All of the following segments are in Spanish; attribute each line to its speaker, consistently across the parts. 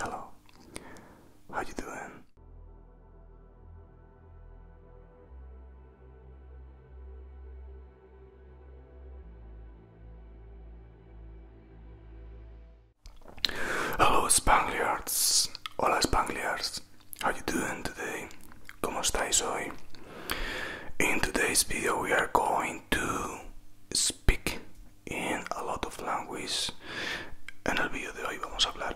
Speaker 1: Hello. How you doing? Hello Spangliards. Hola Spangliards. How you doing today? ¿Cómo estáis hoy? In today's video we are going to speak in a lot of languages. En el vídeo de hoy vamos a hablar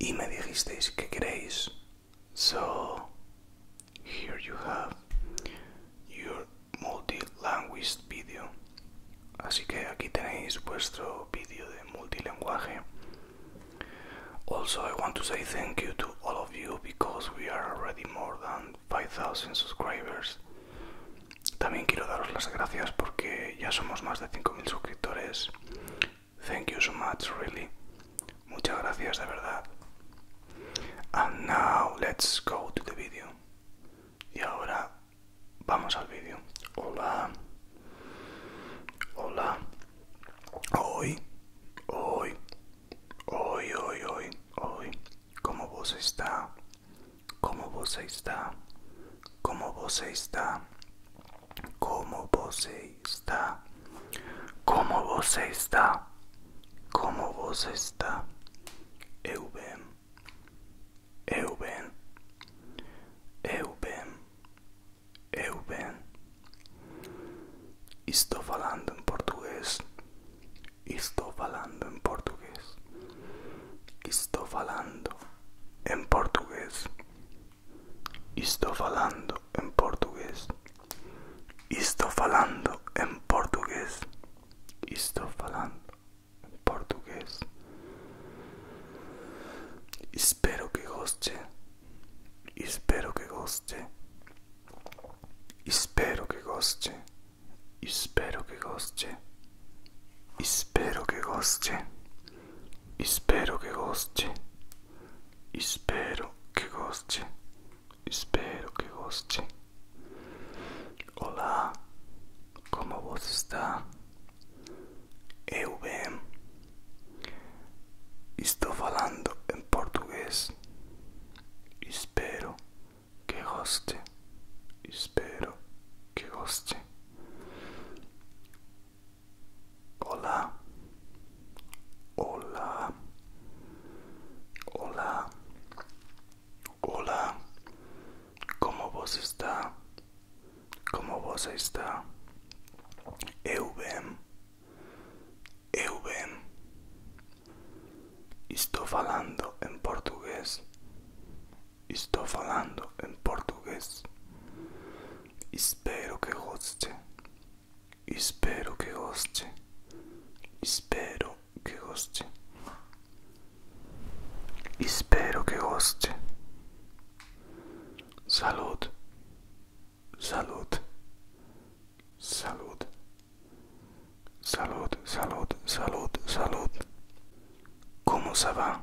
Speaker 1: Y me dijisteis que queréis. So, here you have your multilingual video. Así que aquí tenéis vuestro vídeo de multilenguaje. Also, I want to say thank you to all of you because we are already more than 5000 subscribers. También quiero daros las gracias porque ya somos más de 5.000 suscriptores. Thank you so much, really. Muchas gracias, de verdad. And now let's go to the video. Y ahora vamos al video. Hola. Hola. Hoy, hoy, hoy, hoy, hoy, hoy. ¿Cómo vos está? ¿Cómo vos está? como vos está, como vos está, como vos está, como vos está, eu bem, eu bem, eu bem, eu bem, estou falando en portugués. estou falando en portugués. estou falando en português. Esto falando en portugués. estoy falando en portugués. estoy falando en portugués. Espero que goste. Espero que goste. Espero que goste. Espero que goste. Espero que goste. Spero che costi. Spero che costi. Spero che costi. Olá, como você está? Eu bem. Estou falando em português. Spero che costi. Spero che costi. Hola. Hola. Hola. Hola. ¿Cómo vos está? ¿Cómo vos está? Eu bem. Eu bem. Estou falando en portugués. Estou falando em português. Espero que goste. Espero que goste. Espero que goste. Espero que goste. Salud. Salud. Salud. Salud, salud, salud, salud. Como ça va?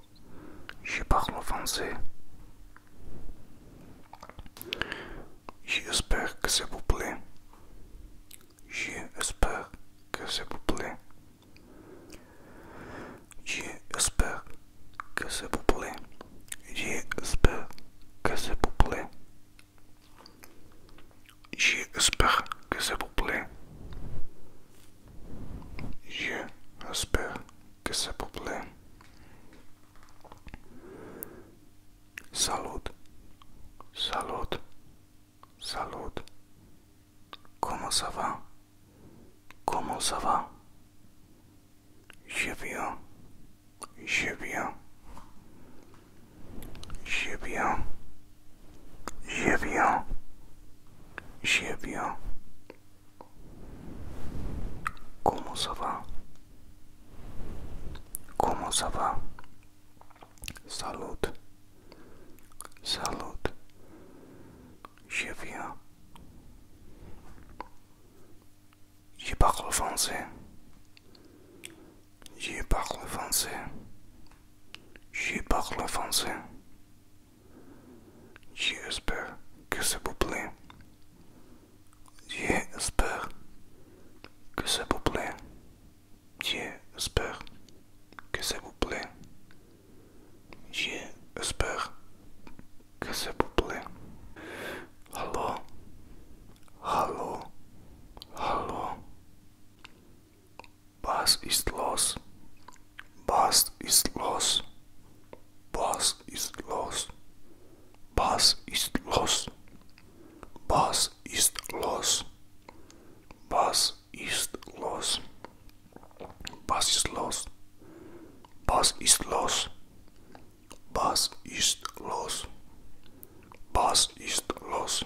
Speaker 1: Je parle français. J'espère que ça vous plaît. J'espère que ça vous plaît. J'espère que ça vous plaît. J'espère que ça vous plaît. J'espère que ça vous plaît. J'espère que ça vous Salut, salut, salut. Comment ça va? Comment ça va? Je viens, je J'ai viens. je viens. Comment ça va Comment ça va Salut. Salut. J'y viens. J'ai parle français. J'ai parle français. J'ai parle français. J'espère que ça vous plaît. J'espère que ça vous plaît. J'espère que ça vous plaît. J'espère que ça vous plaît. Allô? Allô? hello. Was ist los. Was ist los. Was ist los. Was ist los. Was ist los. Was ist los. Was ist los. Was ist los. Was ist los. Was ist los.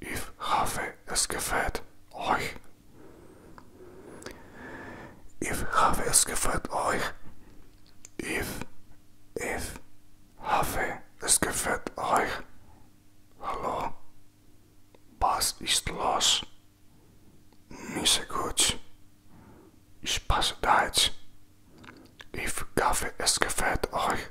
Speaker 1: Ich hoffe, es gefällt euch. Ich hoffe, es gefällt euch. Ich, ich hoffe, es gefällt euch. Hallo? Was ist los? Nicht so gut. Ich passe Deutsch. Ich hoffe, es gefällt euch.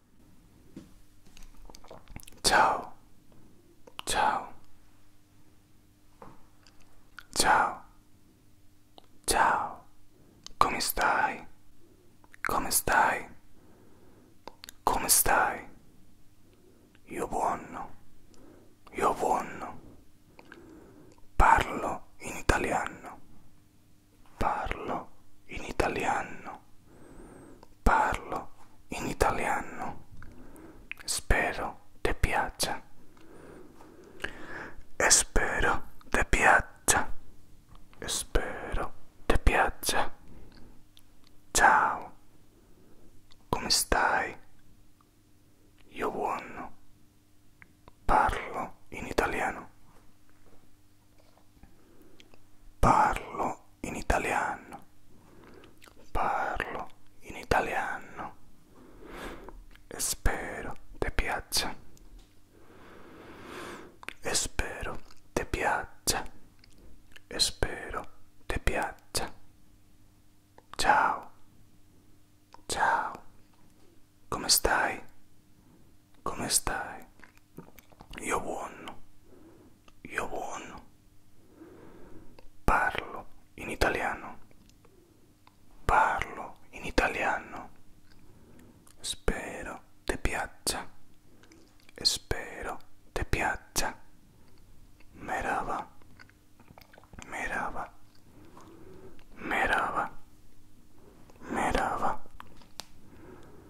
Speaker 1: Ciao, ciao, ciao, ciao, come stai? Come stai? Come stai? Io buono, io buono. Parlo in italiano, parlo in italiano. Parlo in italiano. Spero ti piaccia. Spero ti piaccia. Spero ti piaccia. Ciao. Come stai? Io buono. Parlo in italiano. Parlo in italiano. Parlo in italiano. E spero ti piaccia. E spero ti piaccia. E spero ti piaccia. Ciao. Ciao. Come stai? Come stai? Io buono, io buono. Parlo in italiano, parlo in italiano. Spero ti piaccia, spero ti piaccia. Merava, merava, merava, merava.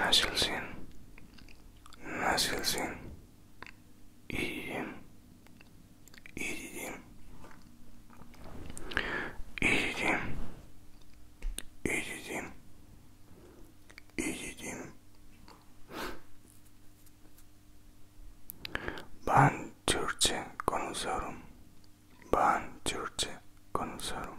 Speaker 1: Nasılsın? Nasılsın? İyiyim. İyiyim. İyiyim. İyiyim. İyiyim. Ben Türkçe konuşuyorum. Ben Türkçe konuşuyorum.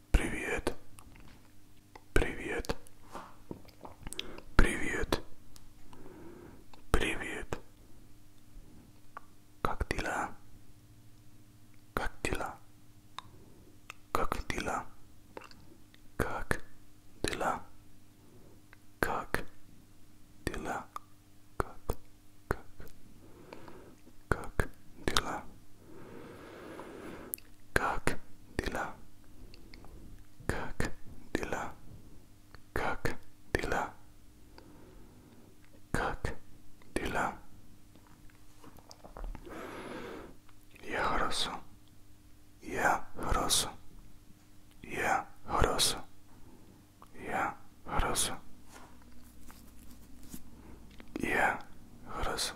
Speaker 1: Привет. Привет. Привет. Привет. Как дела? Как дела? Как дела? Как дела? Как дела? Как? Как? Как дела? Как дела? Как дела? Как дела? Как дела? Я хорошо. Я хорошо. Я хорошо. Я хорошо. Я хорошо.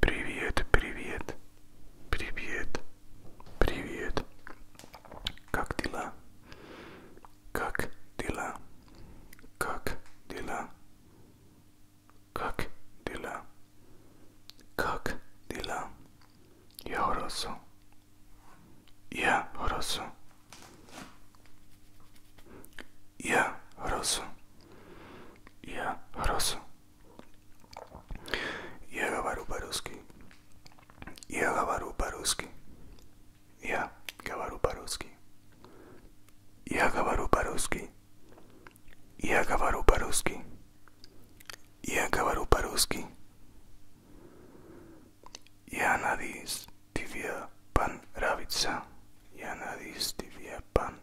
Speaker 1: Привет, привет, привет, привет. Как дела? Как дела? Как дела? Как дела? Как дела? Я хорошо. Я хорошо. Я хорошо. Я рос. Я говорю по-русски. Я говорю по-русски. Я говорю по-русски. Я говорю по-русски. Я говорю по-русски. Я говорю по-русски. Я надеюсь, тебе понравится. Я надеюсь, тебе понравится.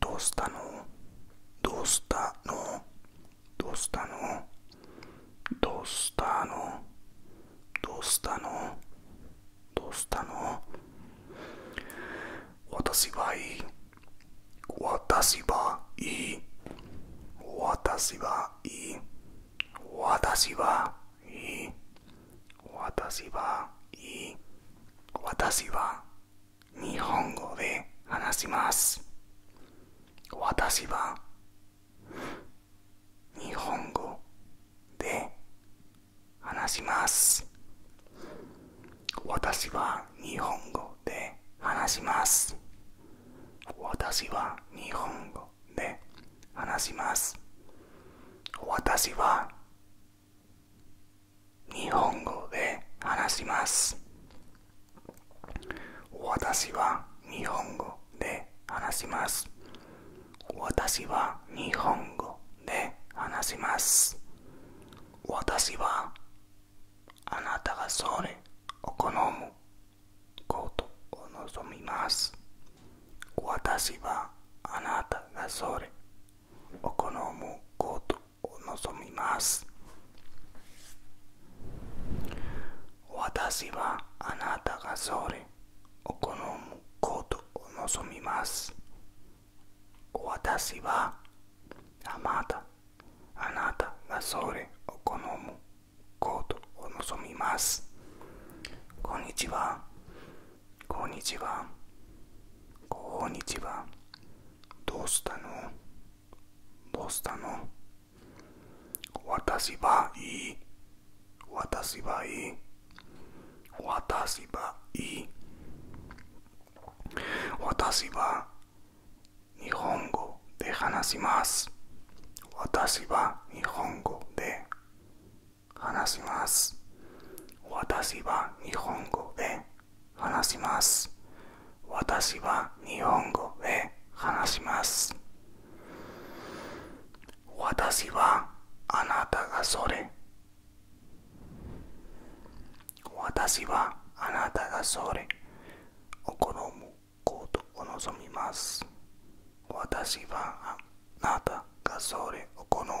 Speaker 1: どうしたのどうしたのどうしたのどうしたのどうしたのどうしたの私はいい私はいい私はいい私はいい私はいい私はいい日本語で話します私は日本語で話します私は日本語で話します私は日本語で話します私は日本語で話します私は日本語で話します私は日本語で話します私はあなたがそれを好むことを望みます私はあなたがそれを好むことを望みます私はあなたがそれを好むことを望みます私はあなたあなたがそれを好むことを望みますこんにちはこんにちはこんにちはどうしたのどうしたの私はいい私はいい私はいい私は日本語で話します私は日本語で話します私は日本語で話します。私は日本語で話します。私はあなたがそれ。私はあなたがそれ。お好むことを望みます。私はあなたがそれお好む。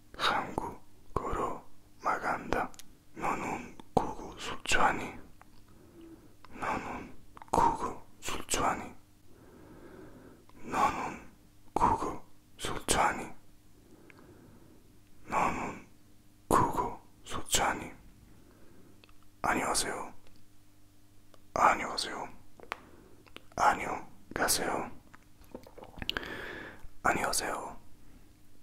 Speaker 1: 한국으로 나간다. 너는 구구 술 좋아하니? 너는 구구 술 좋아하니? 너는 구구 술 좋아하니? 너는 구구 술 좋아하니? 안녕하세요. 안녕하세요. 안녕하세요. 안녕하세요.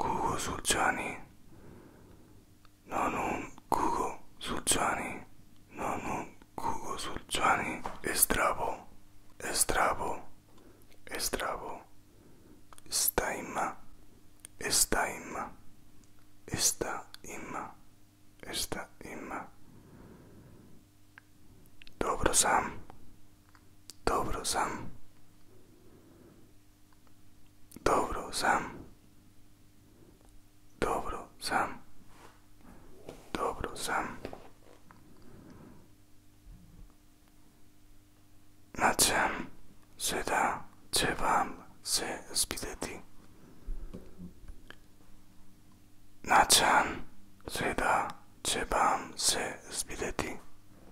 Speaker 1: Kugo Sulčani. Nonon Kugo Sulčani. Nonon Kugo Sulčani. Estrabo. Estrabo. Estrabo. Sta ima. Esta ima. Esta ima. Esta ima. Dobro sam. Dobro sam. Dobro sam. Dobro sam. Dobro sam. Na čem se da će vam se spideti? Na čem se da će vam se spideti?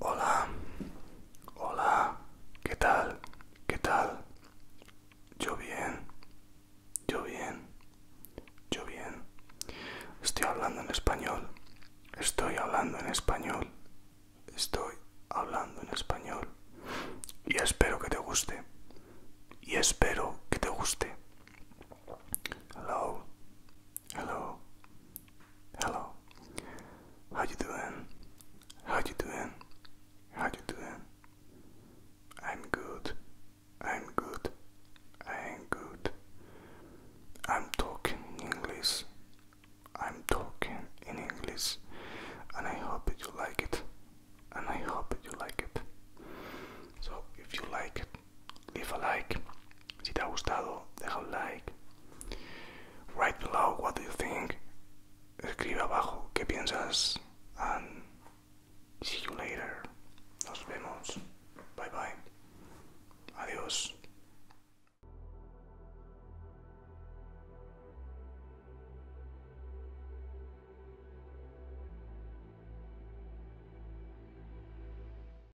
Speaker 1: Hola. Hola. ¿Qué tal? ¿Qué tal? Yo bien. Yo bien. Yo bien. Estoy hablando en español. Estoy hablando en español. Estoy hablando en español. Y espero que te guste. Y espero que te guste. Hello. Hello. Hello. How you doing? How you doing? How you doing? I'm good. I'm good. I'm good. I'm talking English. I'm talking in English and I hope that you like it. And I hope that you like it. So if you like it leave a like. Si te ha gustado, deja un like. Write below what do you think. Escribe abajo qué piensas. And see you later. Nos vemos. Bye bye. Adiós.